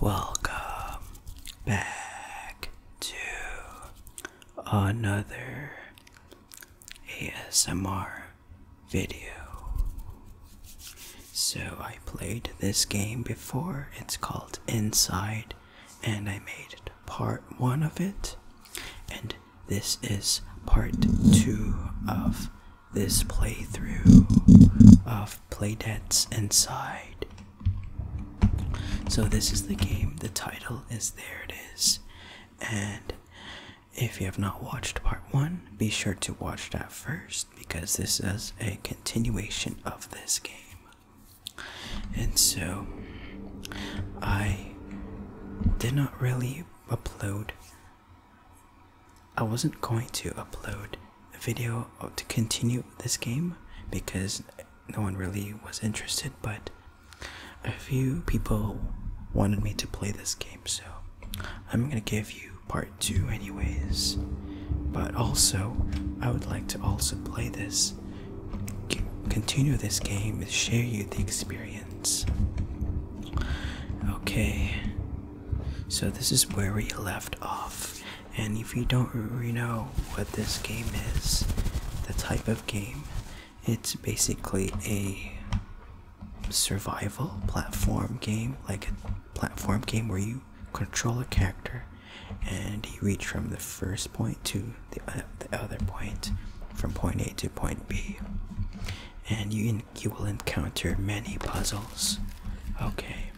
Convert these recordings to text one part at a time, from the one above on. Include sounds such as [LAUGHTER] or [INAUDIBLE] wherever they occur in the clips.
Welcome back to another ASMR video. So, I played this game before, it's called Inside, and I made part one of it, and this is part two of this playthrough of Playdead's Inside. So, this is the game, the title is There It Is. And if you have not watched part one, be sure to watch that first because this is a continuation of this game. And so, I did not really upload I wasn't going to upload a video to continue this game because no one really was interested, but a few people wanted me to play this game, so I'm gonna give you part two, anyways. But also, I would like to also play this, continue this game, and share you the experience. Okay, so this is where we left off. And if you don't really know what this game is, the type of game, it's basically a survival platform game, like a platform game where you control a character and you reach from the first point to the, uh, the other point, from point A to point B. And you you will encounter many puzzles. Okay.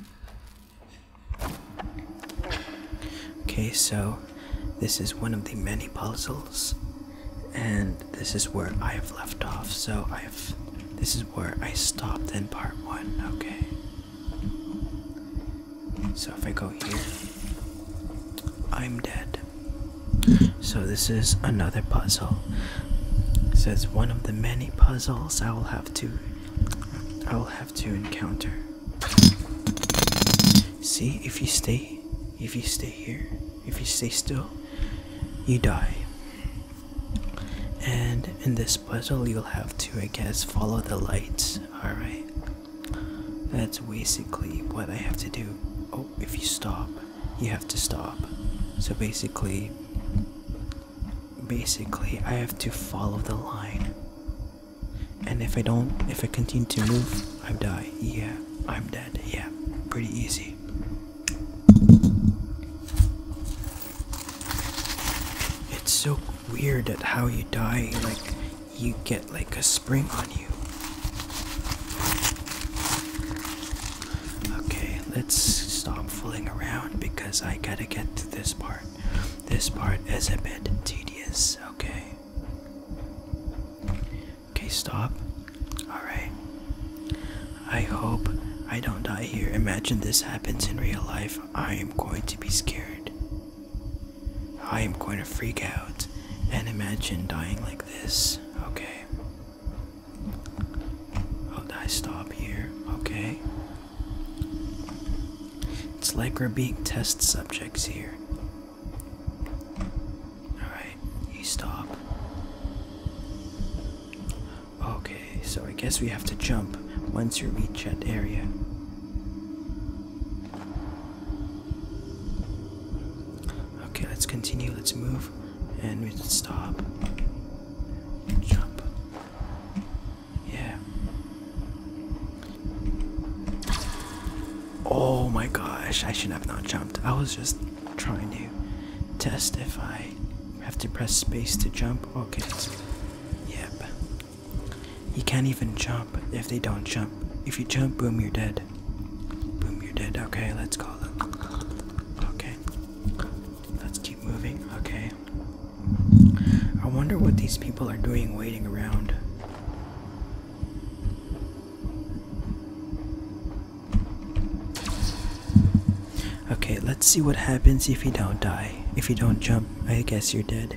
Okay, so this is one of the many puzzles, and this is where I have left off. So I have. This is where I stopped in part one. Okay. So if I go here, I'm dead. So this is another puzzle. So it's one of the many puzzles I will have to I will have to encounter. See, if you stay, if you stay here, if you stay still, you die. And in this puzzle, you'll have to, I guess, follow the lights. Alright. That's basically what I have to do. Oh, if you stop you have to stop. So basically, basically, I have to follow the line. And if I don't, if I continue to move, I die. Yeah, I'm dead. Yeah, pretty easy. It's so weird at how you die, like, you get like a spring on you. Okay, let's stop fooling around because I gotta get to this part. This part is a bit tedious, okay? Okay, stop. Alright. I hope I don't die here. Imagine this happens in real life. I am going to be scared. I am going to freak out and imagine dying like this. Okay. I'll stop here, okay? It's like we're test subjects here. Alright, you stop. Okay, so I guess we have to jump once you reach that area. Okay, let's continue, let's move, and we can stop jump. Yeah. Oh my gosh, I should have not jumped. I was just trying to test if I have to press space to jump. Okay. Yep. You can't even jump if they don't jump. If you jump, boom, you're dead. Boom, you're dead. Okay, let's call it. Okay. Let's keep moving. Okay. I wonder what these people are doing waiting around. Okay, let's see what happens if you don't die. If you don't jump, I guess you're dead.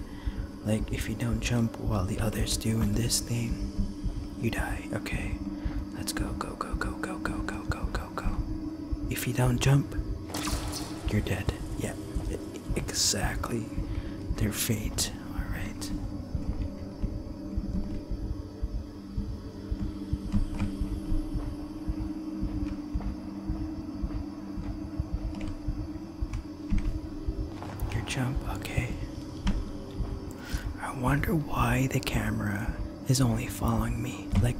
Like, if you don't jump while the others do in this thing, you die. Okay, let's go, go, Go, go, go, go, go, go, go, go, go. If you don't jump, you're dead. Yeah, exactly. Their fate. Alright. Your jump, okay. I wonder why the camera is only following me. Like,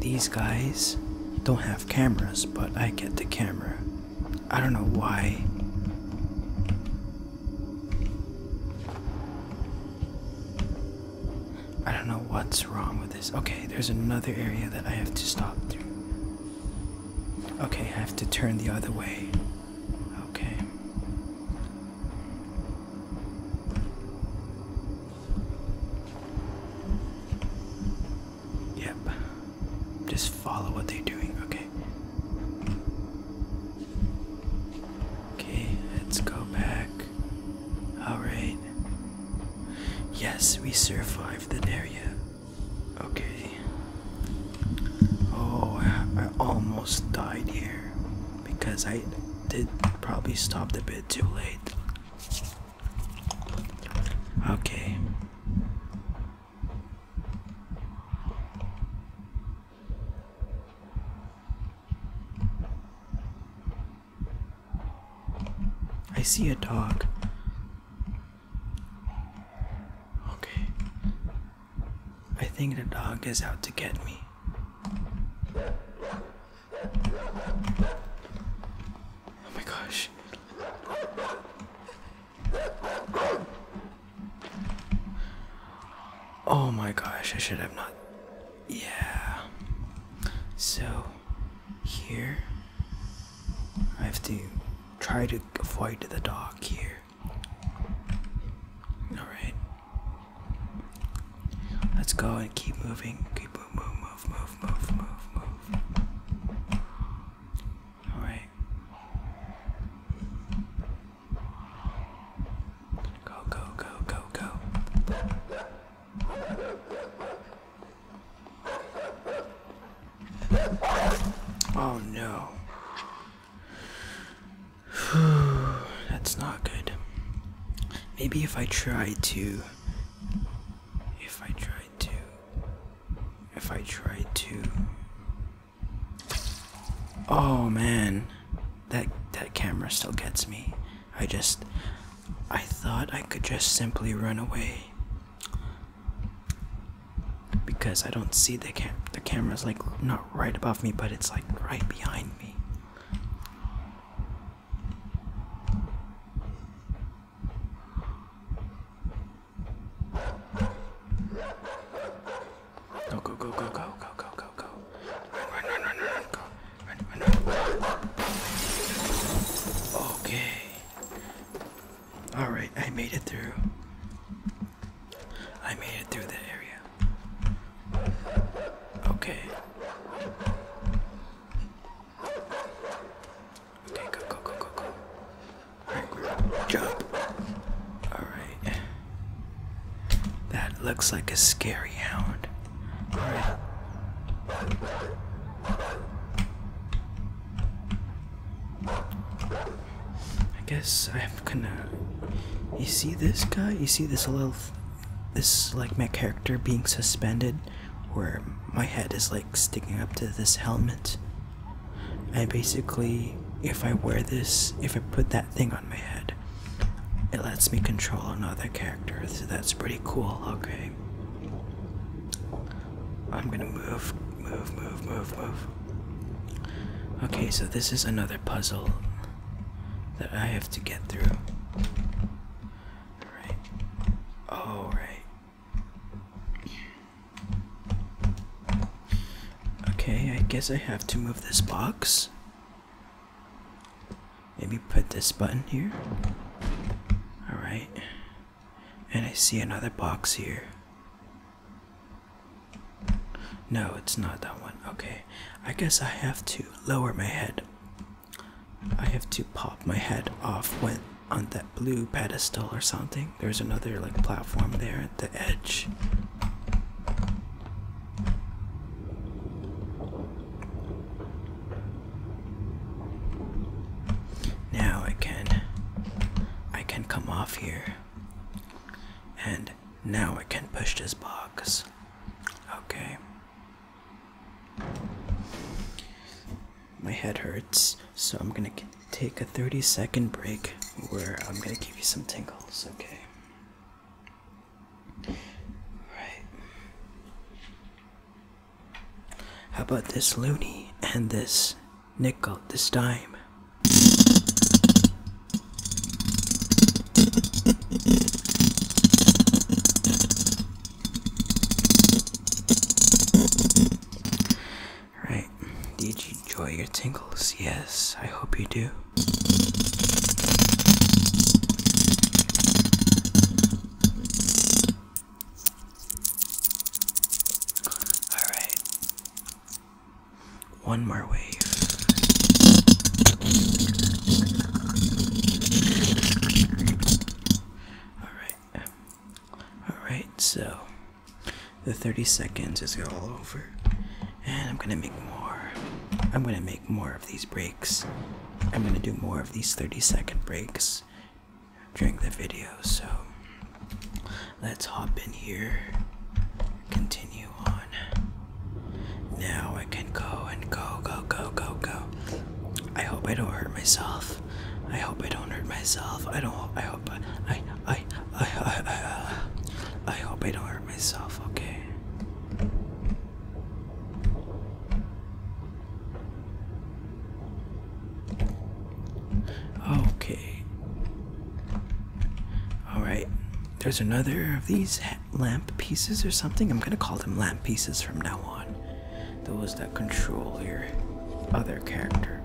these guys don't have cameras, but I get the camera. I don't know why. I don't know what's wrong with this. Okay, there's another area that I have to stop through. Okay, I have to turn the other way. Okay. Yep. Just follow what they're doing, okay? Okay, let's go back. Alright. Yes, we survived that area. Okay. Oh, I almost died here because I did probably stopped a bit too late. Okay. I see a dog. Okay. I think the dog is out to get me. Oh my gosh. Oh my gosh, I should have not. Yeah. So, here, I have to try to avoid the dog here. Alright. Let's go and keep moving. Keep move, move, move, move, move, move, move. All right. Go, go, go, go, go. Oh no. [SIGHS] That's not good. Maybe if I try to if I tried to if I tried to Oh man that that camera still gets me. I just I thought I could just simply run away because I don't see the cam the camera is like not right above me but it's like right behind me. Go, go, go, go, go, go, go, go, go. Run, run, run, run, run, go. Run, run, run. Okay. Alright, I made it through. I made it through the area. Okay. Okay, go, go, go, go, go. Alright, Alright. That looks like a scary hound. Alright. I guess i have gonna. You see this guy? You see this little. This, like, my character being suspended? where my head is like sticking up to this helmet. I basically, if I wear this, if I put that thing on my head, it lets me control another character, so that's pretty cool. Okay. I'm gonna move, move, move, move, move. Okay, so this is another puzzle that I have to get through. Alright. Alright. Okay, I guess I have to move this box. Maybe put this button here. Alright. And I see another box here. No, it's not that one. Okay. I guess I have to lower my head. I have to pop my head off when on that blue pedestal or something. There's another like platform there at the edge. Now I can I can come off here. And now I can push this box. Okay. My head hurts, so I'm gonna take a 30 second break where I'm gonna give you some tingles, okay? Alright. How about this loony and this nickel, this dime? Right. Did you enjoy your tingles? Yes, I hope you do. Alright. One more wave. Alright. Um, Alright, so the 30 seconds is all over. And I'm gonna make more. I'm gonna make more of these breaks. I'm gonna do more of these 30 second breaks during the video. So let's hop in here. Continue on. Now I can go and go, go, go, go, go. I hope I don't hurt myself. I hope I don't hurt myself. I don't. I hope. I. I. I. I. I, I, uh, I hope I don't hurt myself. Okay. Okay. All right. There's another of these lamp pieces or something. I'm gonna call them lamp pieces from now on those that control your other character.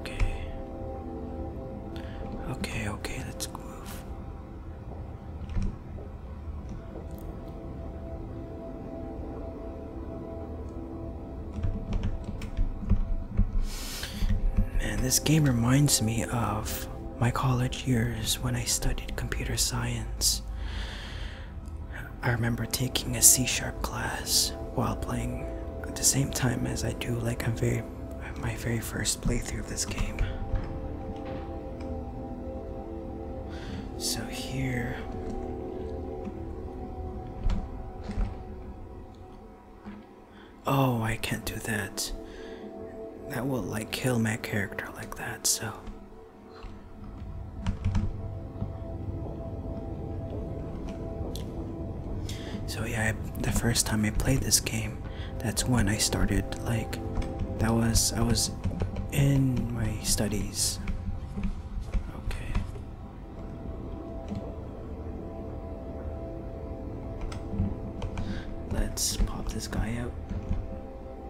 Okay. Okay, okay, let's move. Man, this game reminds me of my college years when I studied computer science. I remember taking a C sharp class while playing at the same time as I do like a very my very first playthrough of this game. So here Oh, I can't do that that will like kill my character like that, so so yeah the first time i played this game that's when i started like that was i was in my studies okay let's pop this guy out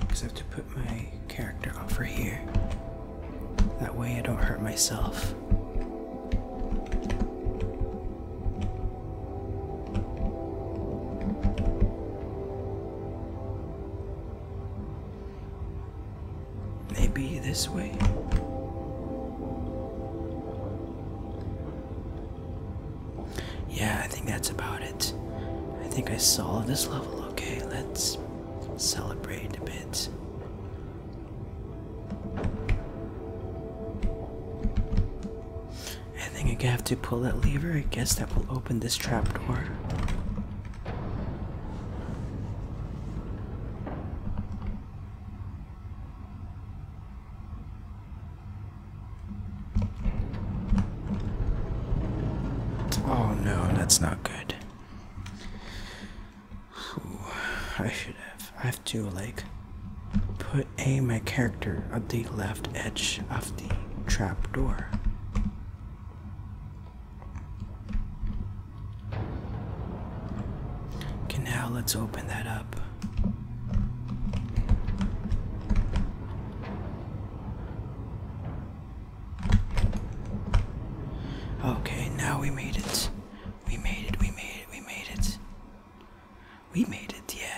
Because I have to put my character over here. That way I don't hurt myself. Maybe this way. Yeah, I think that's about it. I think I saw this level. Okay, let's celebrate a bit. I think I have to pull that lever. I guess that will open this trap door. Oh no, that's not good. I should have. I have to like put a my character at the left edge of the trap door. Okay, now let's open that up. Okay, now we made it. We made it, we made it, we made it. We made it, yeah.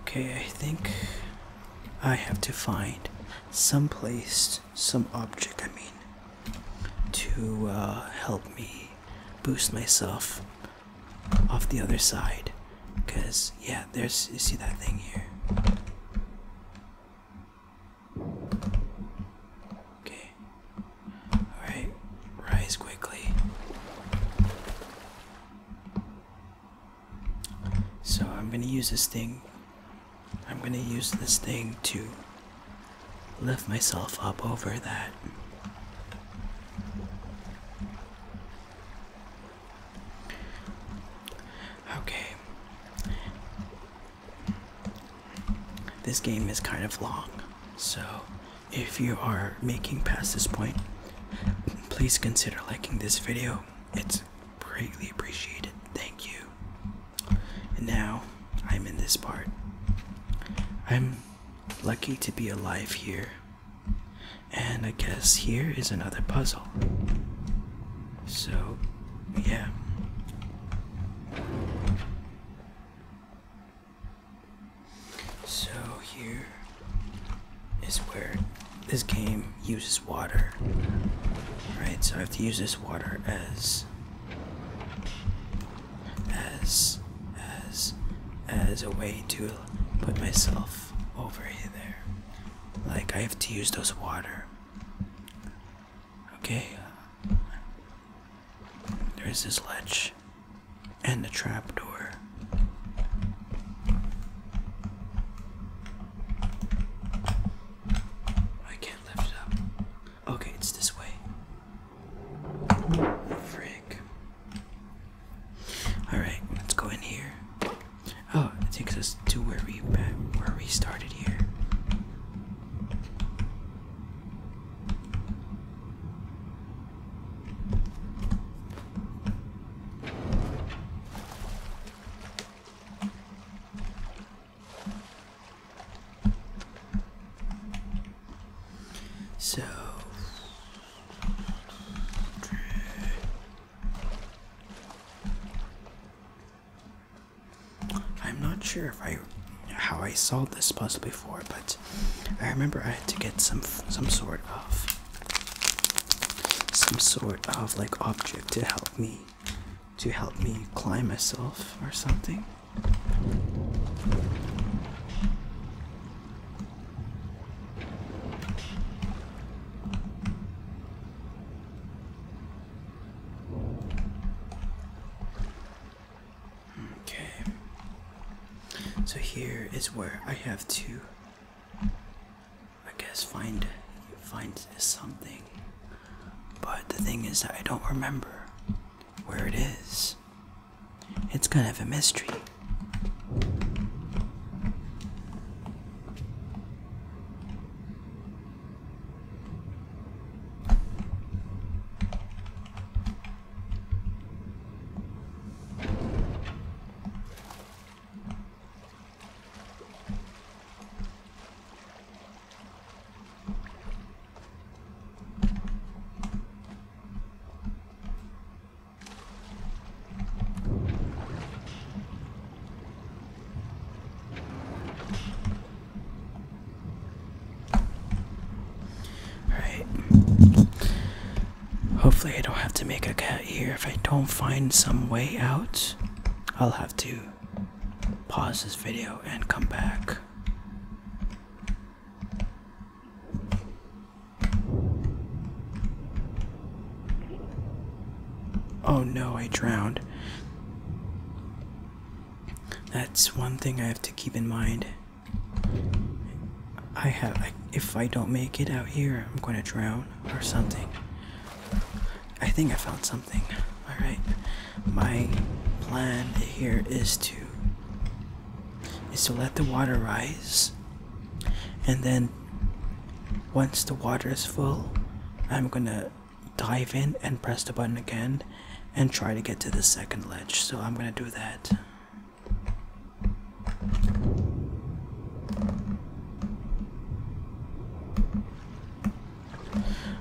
Okay, I think I have to find some place, some object, I mean, to uh, help me boost myself off the other side. Because, yeah, there's, you see that thing here? Okay. Alright, rise quickly. So I'm gonna use this thing. I'm gonna use this thing to lift myself up over that. Okay. This game is kind of long, so if you are making past this point, please consider liking this video it's greatly appreciated. Thank you. And now I'm in this part. I'm lucky to be alive here. And I guess here is another puzzle. So, yeah. So, here is where this game uses water. Right, so I have to use this water as as as as a way to put myself over here there. Like I have to use those water. Okay. There's this ledge and the trap door. I can't lift it up. Okay, it's this way. Frick. Alright, let's go in here. Oh, it takes us to where we where we started here. So I'm not sure if I how I solved this puzzle before, but I remember I had to get some some sort of some sort of like object to help me to help me climb myself or something. Okay. So here is where I have to I guess find find something. But the thing is that I don't remember where it is. It's kind of a mystery. All right. Hopefully, I don't have to make a cat here. If I don't find some way out, I'll have to pause this video and come back. Oh no, I drowned. That's one thing I have to keep in mind. I have, I, if I don't make it out here, I'm going to drown or something. I think I found something. Alright. My plan here is to is to let the water rise and then once the water is full I'm gonna dive in and press the button again and try to get to the second ledge. So I'm gonna do that.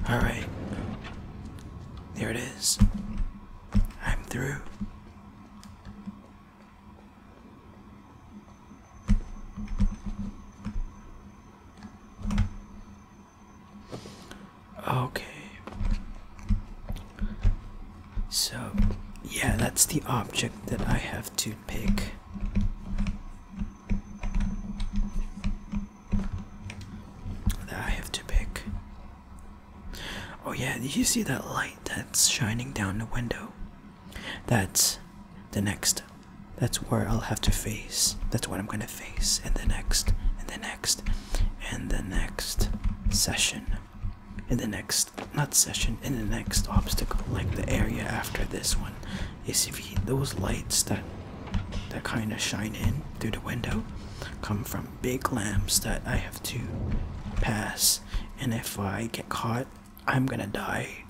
All right. There it is. I'm through. Okay. So, yeah, that's the object that I have to pick. I have to pick. Oh, yeah, did you see that light that's shining down the window? That's the next. That's where I'll have to face. That's what I'm gonna face in the next, in the next, in the next session. In the next, not session, in the next obstacle, like the area after this one is if those lights that that kind of shine in through the window come from big lamps that I have to pass, and if I get caught, I'm gonna die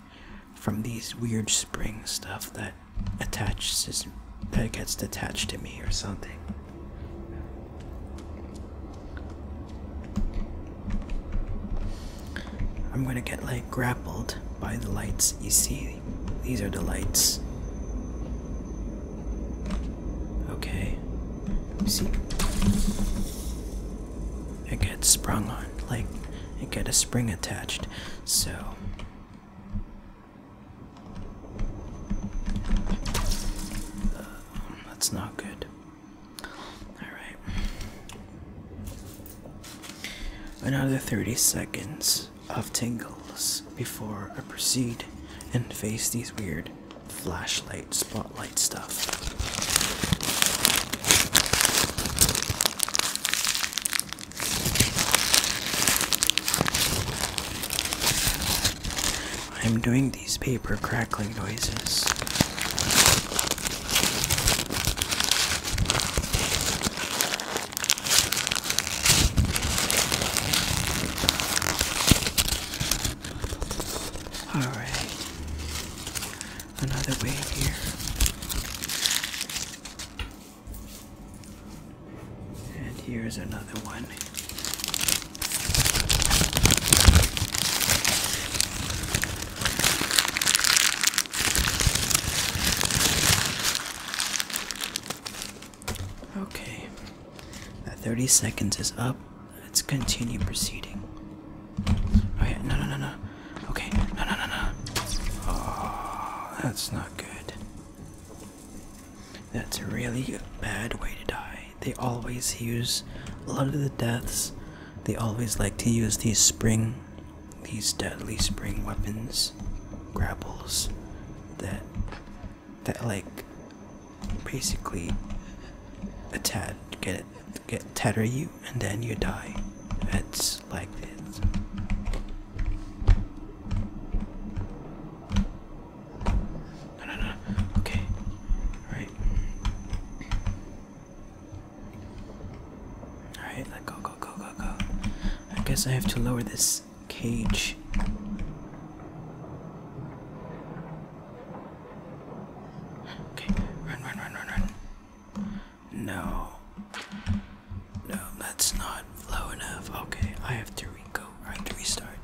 from these weird spring stuff that attaches that gets detached to me or something. I'm gonna get like grappled by the lights. You see, these are the lights. Okay. You see? It gets sprung on, like it gets a spring attached. So uh, that's not good. All right. Another 30 seconds of tingles before I proceed and face these weird flashlight, spotlight stuff. I'm doing these paper crackling noises. Alright, another wave here. And here's another one. Okay, that uh, 30 seconds is up. Let's continue proceeding. Oh no, no, no, no. Okay, no, no, no, no. Oh, that's not good. That's a really bad way to die. They always use a lot of the deaths they always like to use these spring, these deadly spring weapons, grapples, that, that like, basically, attack, get get tether you, and then you die. It's like this. No, no, no. Okay. All right. Alright, let go, go, go, go, go. I guess I have to lower this cage. Okay, run, run, run, run, run. No. No, that's not low enough. Okay, I have to go. I have to restart.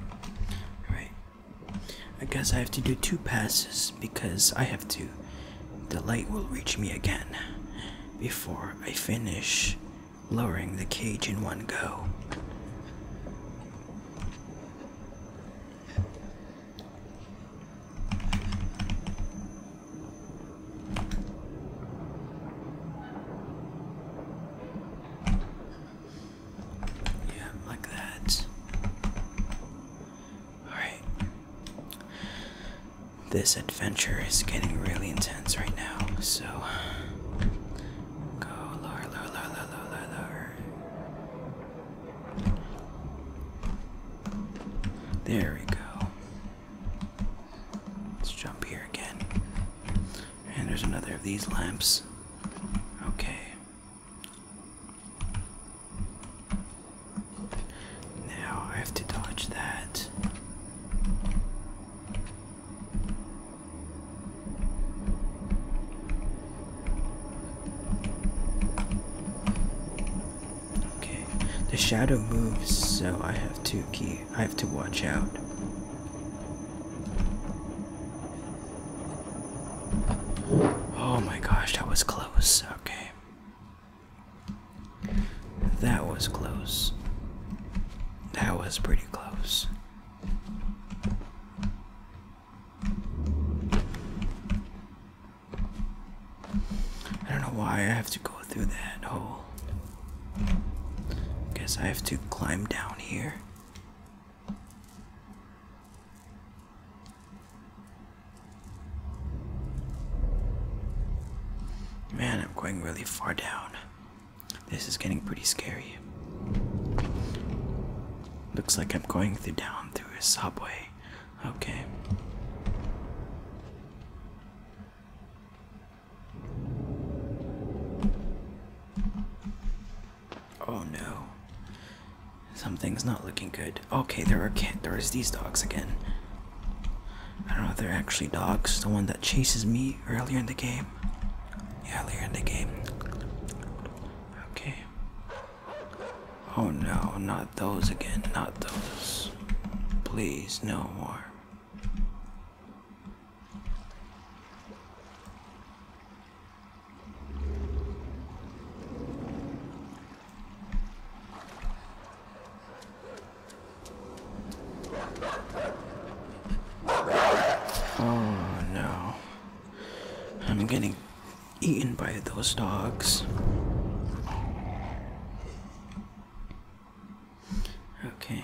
Alright. I guess I have to do two passes because I have to the light will reach me again before I finish lowering the cage in one go. Yeah, like that. All right. This adventure is getting really intense right now, so go lower, lower, lower, lower, lower, lower. There we go. Let's jump here again. And there's another of these lamps. Okay. Now I have to dodge that. Okay, the shadow moves, so I have to key. I have to watch out. Oh my gosh, that was close. Okay. That was close. That was pretty close. I don't know why I have to go through that hole. Guess I have to climb down here. Man, I'm going really far down. This is getting pretty scary. Looks like I'm going through down through a subway. Okay. Oh no. Something's not looking good. Okay, there are cat there's these dogs again. I don't know if they're actually dogs. The one that chases me earlier in the game. Earlier in the game. Okay. Oh no, not those again. Not those. Please, no more. Oh no. I'm getting eaten by those dogs. Okay.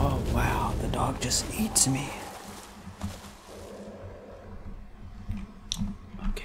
Oh wow, the dog just eats me. Okay.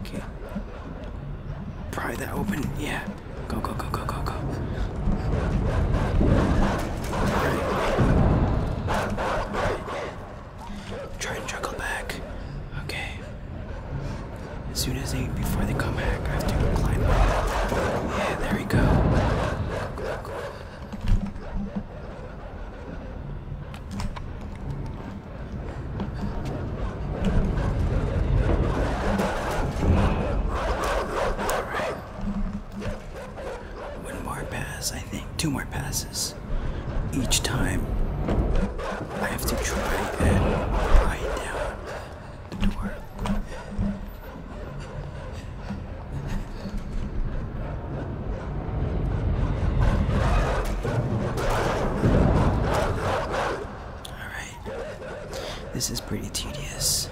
Okay. Pry that open. Yeah. Go, go, go, go, go, go. Right. Try and juggle back. Okay. As soon as they, before they come back, I have to climb up. Yeah, there we go. go, go, go. One more pass, I think. Two more passes. Each time I have to try and ride down the door. Alright. This is pretty tedious.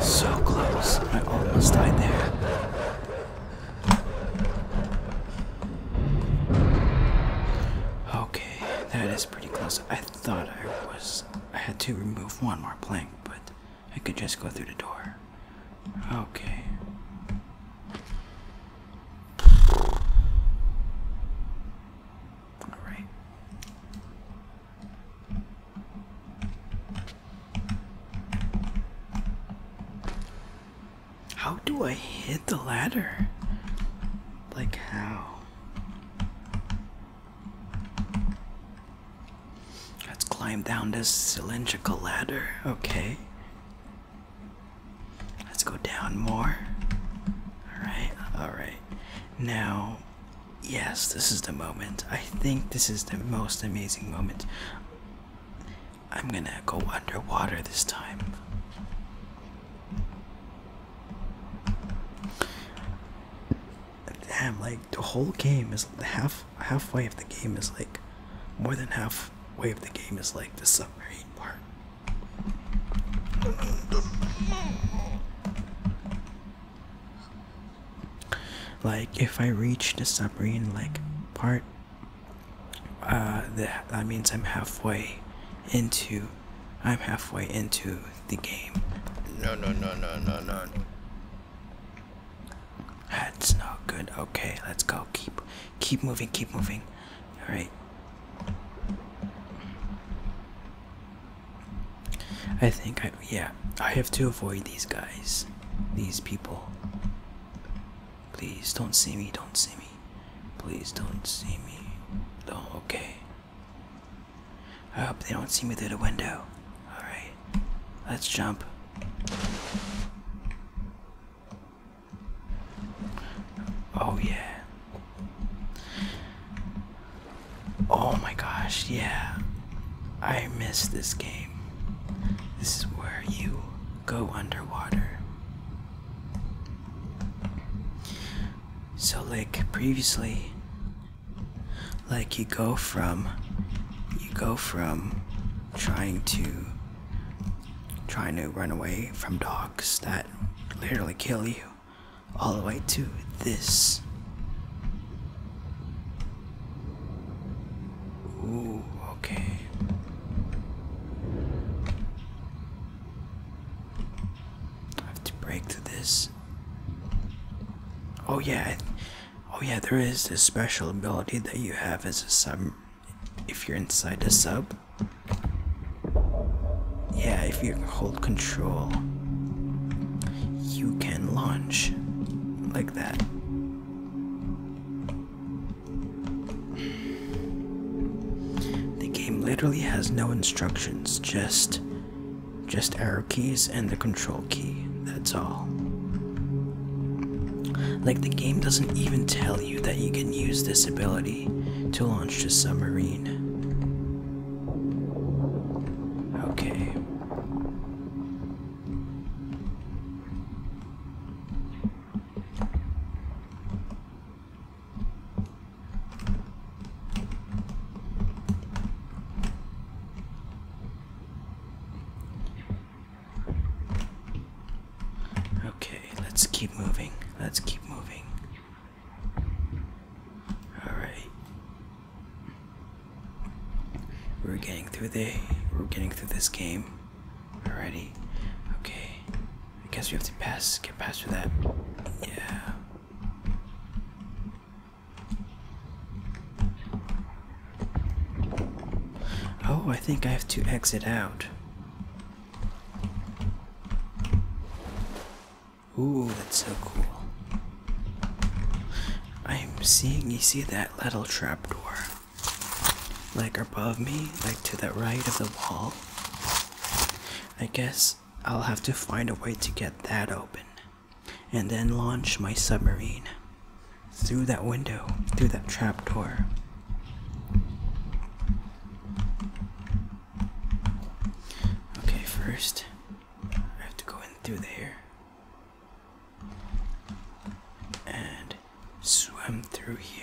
So close. I almost died there. Okay, that is pretty close. I thought I was I had to remove one more plank, but I could just go through the door. Okay. All right. How do I hit the ladder? Like how? Let's climb down this cylindrical ladder. Okay. Let's go down more. Alright, alright. Now, yes, this is the moment. I think this is the most amazing moment. I'm gonna go underwater this time damn like the whole game is half halfway of the game is like more than halfway of the game is like the submarine part like if i reach the submarine like part uh that, that means i'm halfway into i'm halfway into the game. No, no, no, no, no, no. That's not good. Okay, let's go. Keep, keep moving. Keep moving. All right. I think I yeah. I have to avoid these guys, these people. Please don't see me. Don't see me. Please don't see me. No. Okay. I hope they don't see me through the window. Alright, let's jump. Oh, yeah. Oh my gosh, yeah. I miss this game. This is where you go underwater. So, like previously, like you go from you go from trying to trying to run away from dogs that literally kill you all the way to this. Ooh, okay. I have to break through this oh yeah oh yeah there is this special ability that you have as a sub if you're inside the sub yeah if you hold control you can launch like that the game literally has no instructions just just arrow keys and the control key, that's all. Like, the game doesn't even tell you that you can use this ability to launch the submarine. Okay. Okay, let's keep moving. Let's keep moving. Alright. We're getting through the we're getting through this game. Alrighty. Okay. I guess we have to pass get past through that. Yeah. Oh, I think I have to exit out. Ooh, that's so cool. I'm seeing, you see that little trapdoor? Like above me, like to the right of the wall? I guess I'll have to find a way to get that open and then launch my submarine through that window, through that trap door. Okay, first, I have to go in through there and swim through here.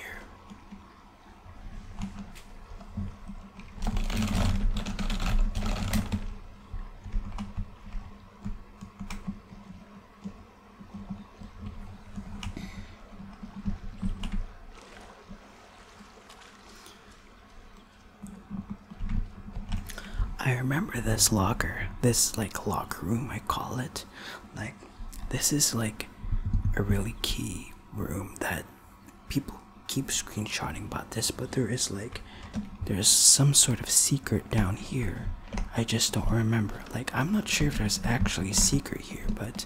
I remember this locker, this like locker room, I call it. Like, this is like a really key room that people keep screenshotting about this, but there is like there's some sort of secret down here. I just don't remember. Like, I'm not sure if there's actually a secret here, but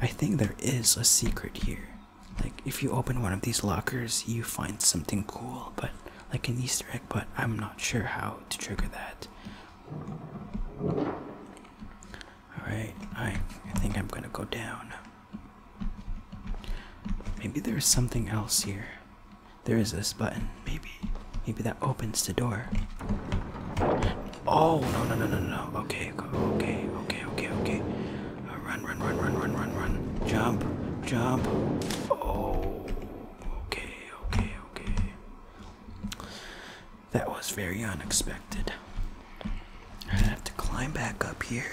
I think there is a secret here. Like, if you open one of these lockers, you find something cool, but like an Easter egg, but I'm not sure how to trigger that. Alright, I, I think I'm gonna go down. Maybe there's something else here. There is this button. Maybe. Maybe that opens the door. Oh no no no no no. Okay, okay, okay, okay, okay. Uh, run, run, run, run, run, run, run. Jump, jump. Oh okay, okay, okay. That was very unexpected. I have to climb back up here.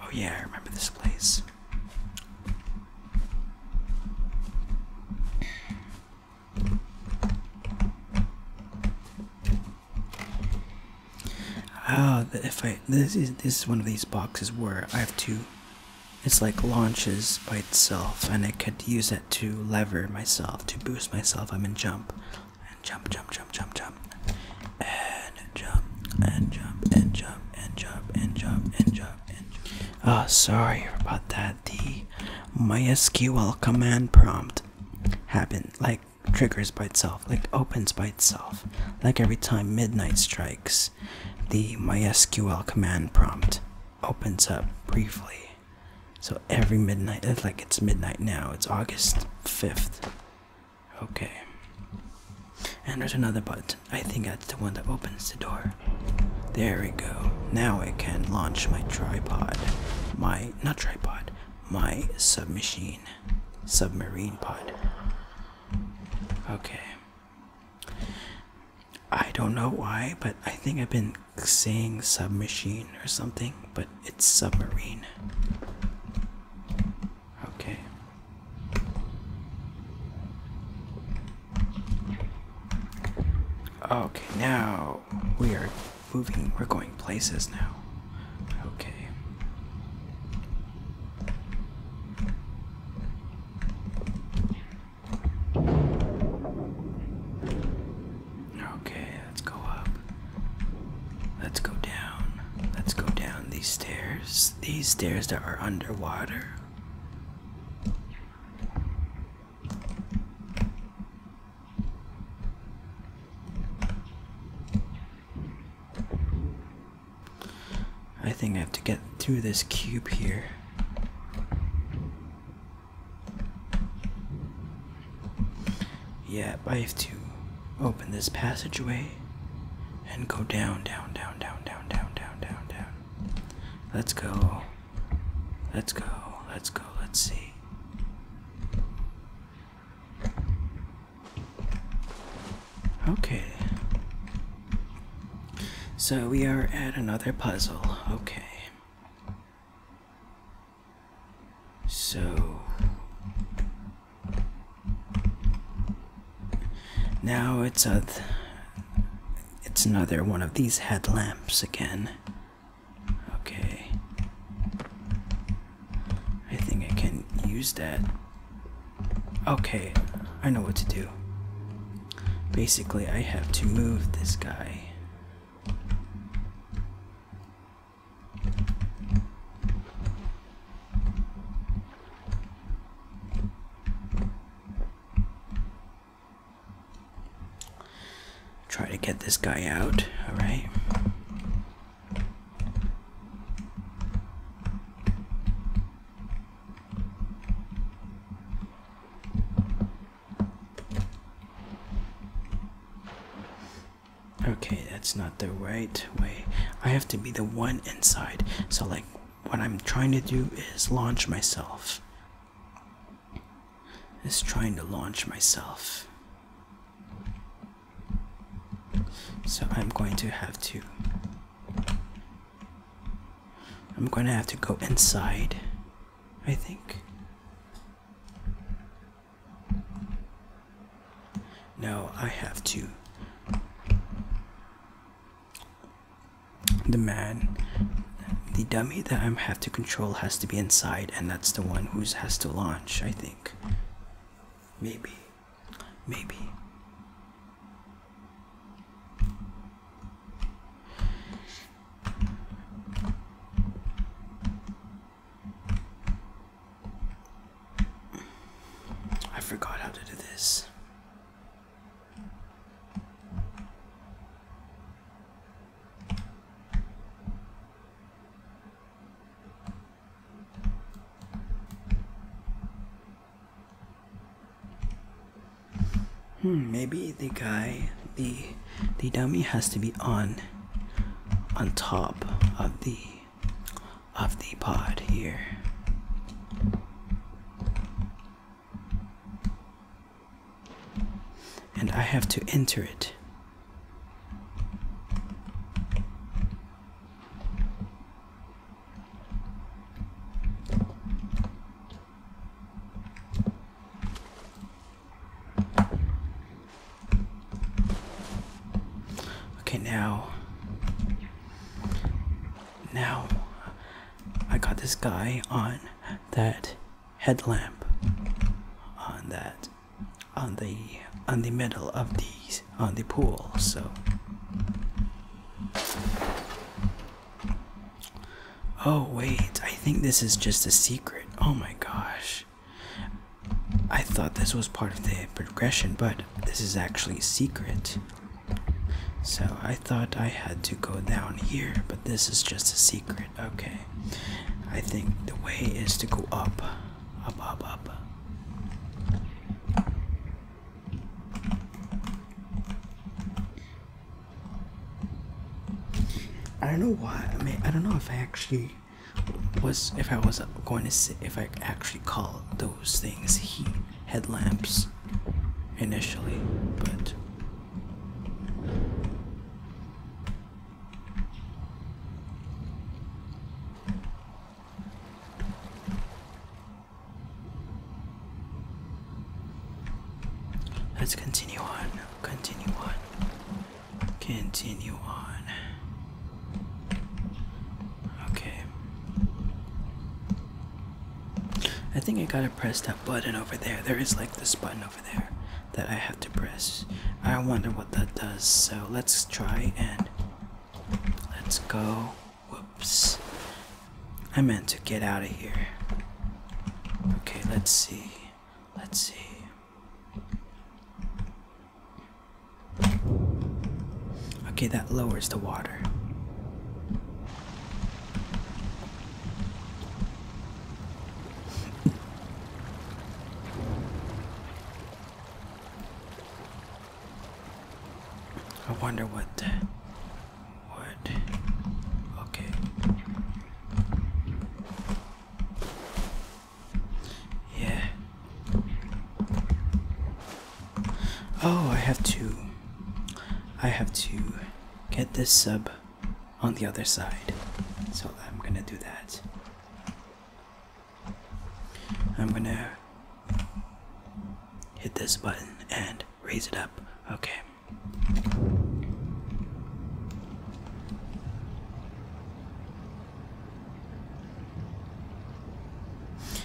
Oh yeah, I remember this place. Oh, if I this is this is one of these boxes where I have to. It's like launches by itself, and I could use it to lever myself to boost myself. I'm in jump and jump, jump, jump, jump, jump, and jump, and jump, and jump, and jump, and jump, and jump, and jump. Oh, sorry about that. The MySQL command prompt happened, like triggers by itself, like opens by itself, like every time midnight strikes. The MySQL command prompt opens up briefly. So every midnight, it's like it's midnight now, it's August 5th. Okay. And there's another button. I think that's the one that opens the door. There we go. Now I can launch my tripod. My, not tripod, my submachine. Submarine pod. Okay. I don't know why, but I think I've been saying submachine or something, but it's submarine. Okay. Okay, now we are moving. We're going places now. Okay. Okay, let's go up. Let's go down. Let's go down these stairs. These stairs that are underwater. I think I have to get through this cube here. Yep, I have to open this passageway and go down, down, down, down, down, down, down, down, down. Let's go. Let's go. Let's go. Let's see. Okay. So we are at another puzzle. Okay. So now it's a it's another one of these headlamps again. Okay. I think I can use that. Okay, I know what to do. Basically, I have to move this guy. Try to get this guy out, alright? Okay, that's not the right way. I have to be the one inside. So, like, what I'm trying to do is launch myself. Is trying to launch myself. So, I'm going to have to. I'm going to have to go inside, I think. Now I have to the man the dummy that I have to control has to be inside and that's the one who has to launch I think maybe maybe I forgot how to do this. Hmm, maybe the guy, the the dummy has to be on on top of the of the pod here. And I have to enter it. Okay, now now, I got this guy on that headlamp on that on the on the middle of these on the pool so oh wait i think this is just a secret oh my gosh i thought this was part of the progression but this is actually secret. So I thought I had to go down here, but this is just a secret. Okay. I think the way is to go up. Up, up, up. I don't know why. I mean, I don't know if I actually was if I was going to say, if I actually call those things heat headlamps initially, but let's continue on, continue on, continue on. Okay. I think I gotta press that button over there. There is like this button over there that I have to press. I wonder what that does. So let's try and let's go. Whoops. I meant to get out of here. Okay, let's see. Let's see. Okay, that lowers the water. I wonder what would okay. Yeah. Oh, I have to. I have to get this sub on the other side. So I'm gonna do that. I'm gonna hit this button and raise it up. Okay.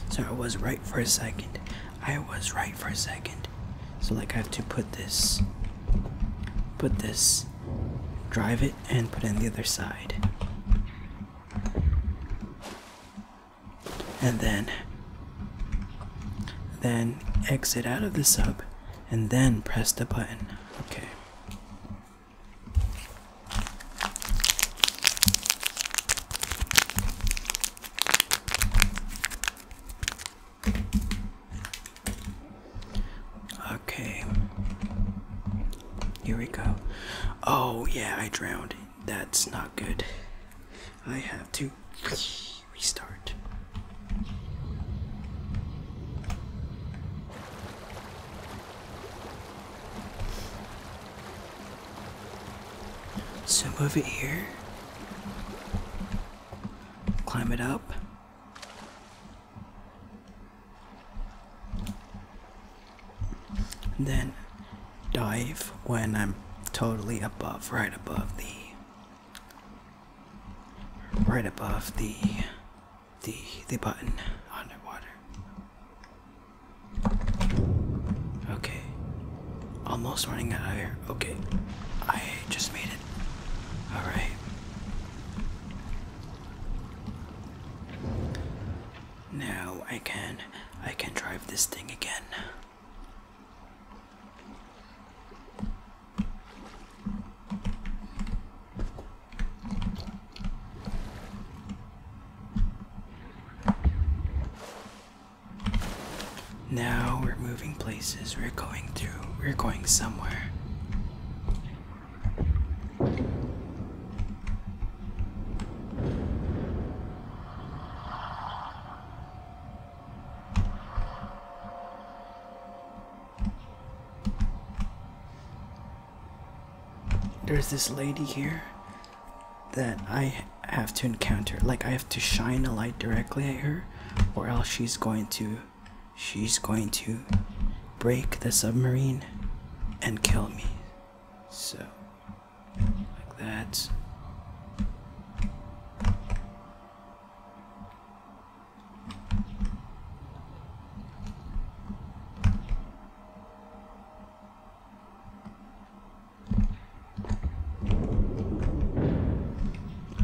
So I was right for a second. I was right for a second. So like I have to put this, put this, drive it, and put it on the other side. And then, then exit out of the sub, and then press the button. Okay. Okay. Here we go. Oh, yeah, I drowned. That's not good. I have to restart. So move it here. Climb it up. then dive when I'm totally above, right above the, right above the, the, the button underwater. Okay. Almost running out of air. Okay. I just made it. Alright. Now I can I can drive this thing again. Now we're moving places. We're going to. We're going somewhere. There's this lady here that I have to encounter. Like I have to shine a light directly at her, or else she's going to she's going to break the submarine and kill me. So like that.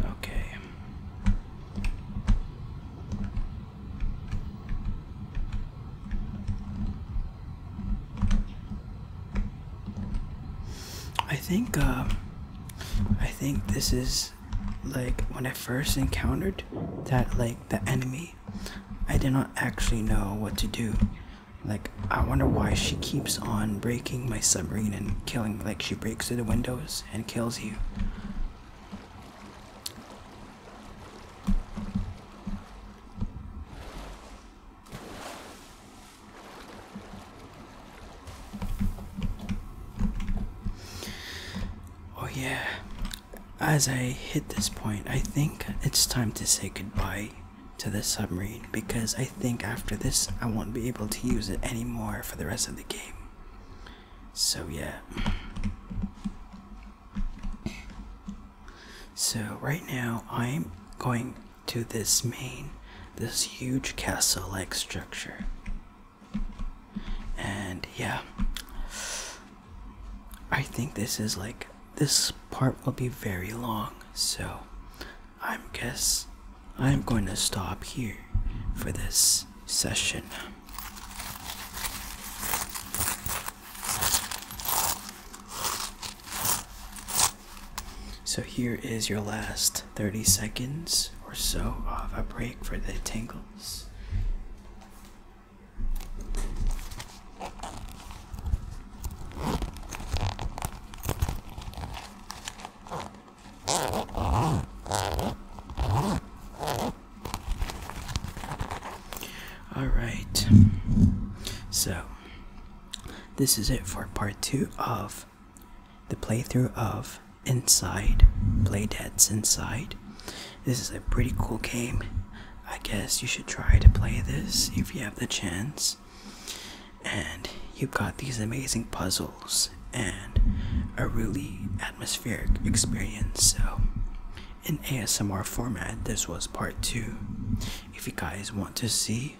Okay. I think uh, I think this is like when I first encountered that like the enemy I did not actually know what to do like, I wonder why she keeps on breaking my submarine and killing. Like, she breaks through the windows and kills you. Oh, yeah. As I hit this point, I think it's time to say goodbye to this submarine because I think after this I won't be able to use it anymore for the rest of the game. So, yeah. So, right now I'm going to this main, this huge castle like structure. And yeah, I think this is like this part will be very long, so I guess I'm going to stop here for this session. So here is your last 30 seconds or so of a break for the tingles. All right. So, this is it for part 2 of the playthrough of Inside, Playdead's Inside. This is a pretty cool game. I guess you should try to play this if you have the chance and you got these amazing puzzles and a really atmospheric experience so in asmr format this was part two if you guys want to see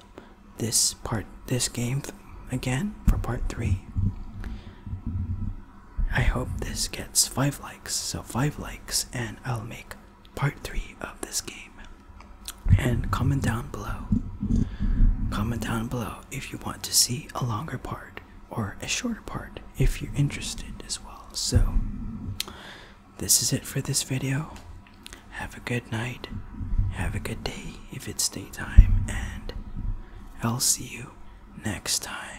this part this game again for part three i hope this gets five likes so five likes and i'll make part three of this game. And comment down below. Comment down below if you want to see a longer part or a shorter part if you're interested as well. So, this is it for this video. Have a good night. Have a good day if it's daytime. And I'll see you next time.